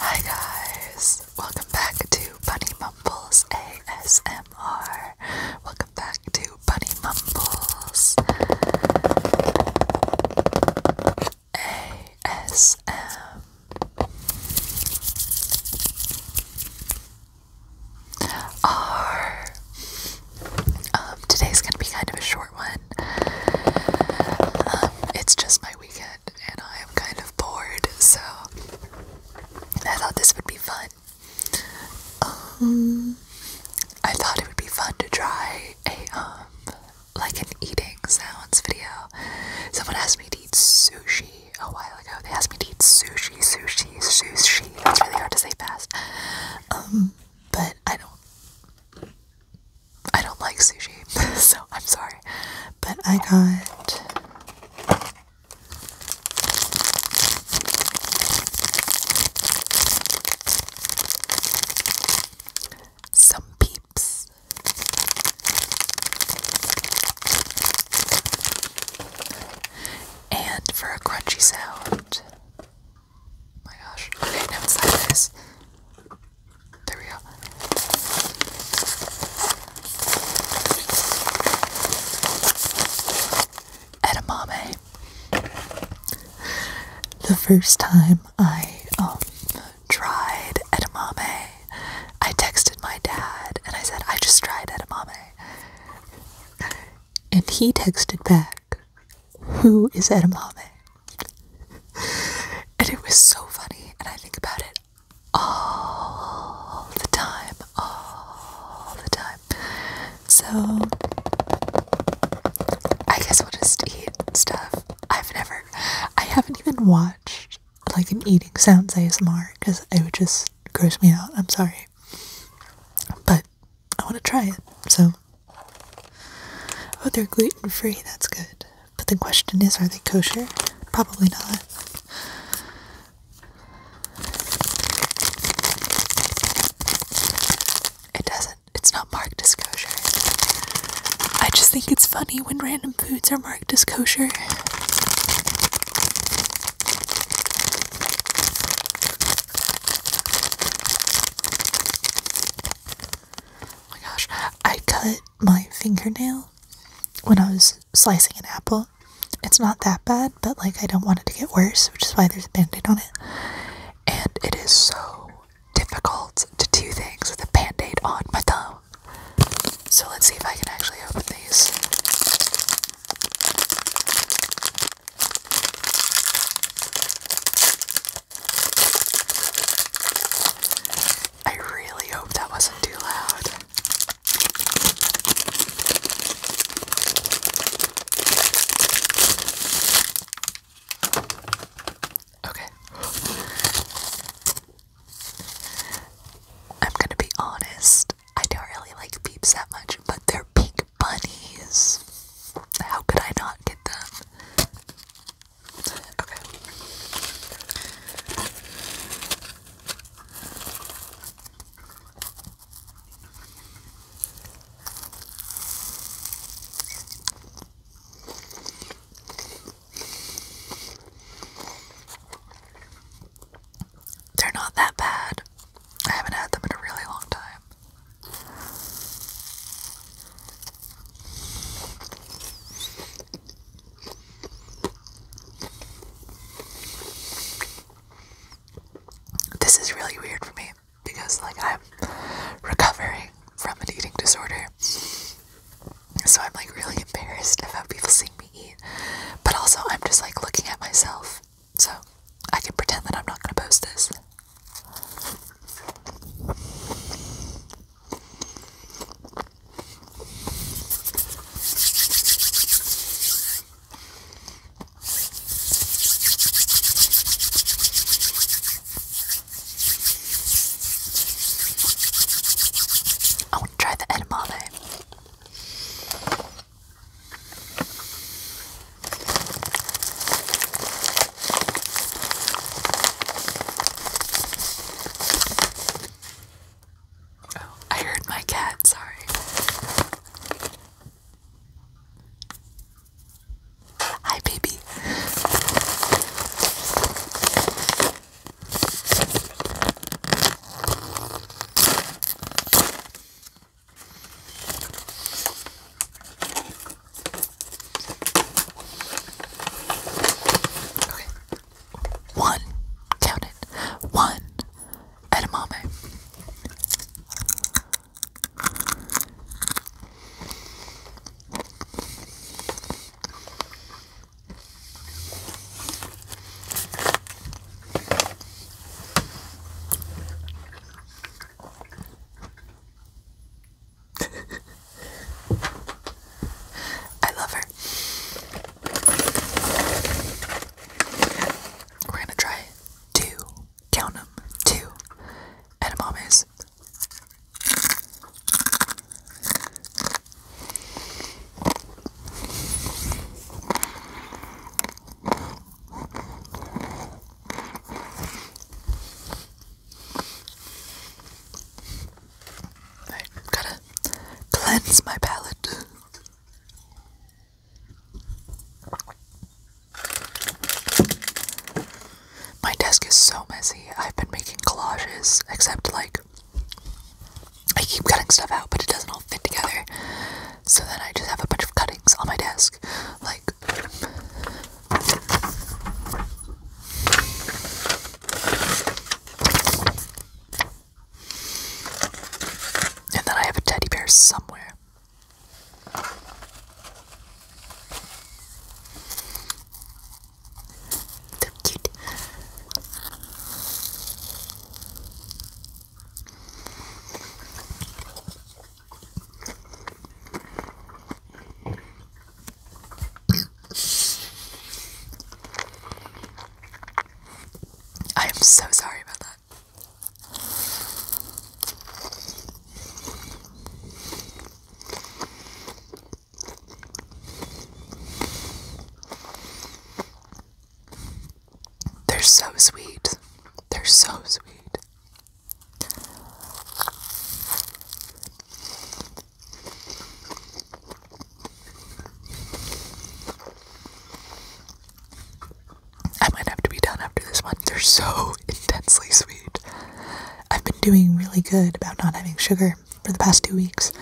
Hi guys, welcome back to Bunny Mumbles ASMR. Welcome back to Bunny Mumbles ASM. Um, today's gonna be kind of a short um, it's just my weekend and I am kind of bored, so I thought this would be fun. Um, I thought it would be fun to try a um like an eating sounds video. Someone asked me to eat sushi a while ago. They asked me to eat sushi, sushi, sushi. It's really hard to say fast. Um, but I don't I don't like sushi, so I'm sorry. But I got some peeps. And for a crunchy sound. Oh my gosh. Okay, now like this. Edamame. The first time I um, tried edamame, I texted my dad and I said, I just tried edamame. And he texted back, Who is edamame? and it was so funny, and I think about it all the time, all the time. So, I guess we'll just eat stuff. I've never, I haven't even watched like an eating sounds ASMR because it would just gross me out. I'm sorry. But I want to try it, so. Oh, they're gluten free, that's good. But the question is, are they kosher? Probably not. It doesn't, it's not marked as kosher. I just think it's funny when random foods are marked as kosher. Oh my gosh, I cut my fingernail when I was slicing an apple. It's not that bad, but like I don't want it to get worse, which is why there's a band aid on it. And it is so difficult to do things with a band aid on my thumb. So let's see if I can actually open these. I really hope that wasn't too loud. Okay. I'm gonna be honest, I don't really like peeps that much, but they're pink bunnies. How could I not get them? Okay. They're not that bad. I haven't had them in a really long time. This is really weird for me because, like, I'm recovering from an eating disorder. So I'm, like, really embarrassed about people seeing me eat. But also, I'm just, like, looking at myself. So I can pretend that I'm not going to post this. I want to try the edamame. I heard my cat, sorry. Hi, baby. One. Count it. One. Edamame. I love her. We're gonna try two, count them, two edamames. I gotta cleanse my palate. My desk is so messy. I've been making collages, except like I keep cutting stuff out, but it doesn't all fit together. So then I just have a bunch of cuttings on my desk. Like, and then I have a teddy bear somewhere. So cute. I am so sorry about that. They're so sweet. They're so sweet. I might have to be done after this one. They're so intensely sweet. I've been doing really good about not having sugar for the past two weeks.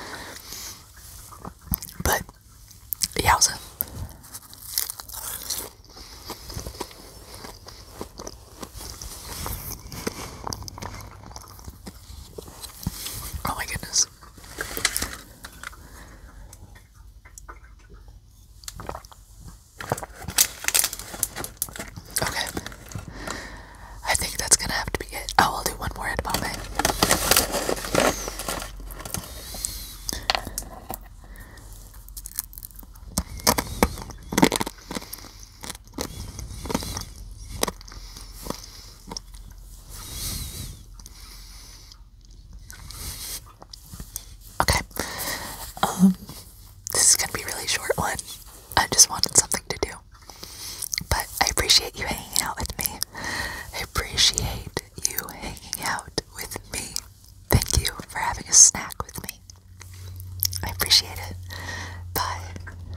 But, yowza. Oh my goodness. Okay. I think that's gonna have to be it. Oh, I'll do one more edamame. Okay. Um this is going to be a really short one. I just wanted something to do. But I appreciate you hanging out with me. I appreciate you hanging out with me. Thank you for having a snack with me. I appreciate it. Bye.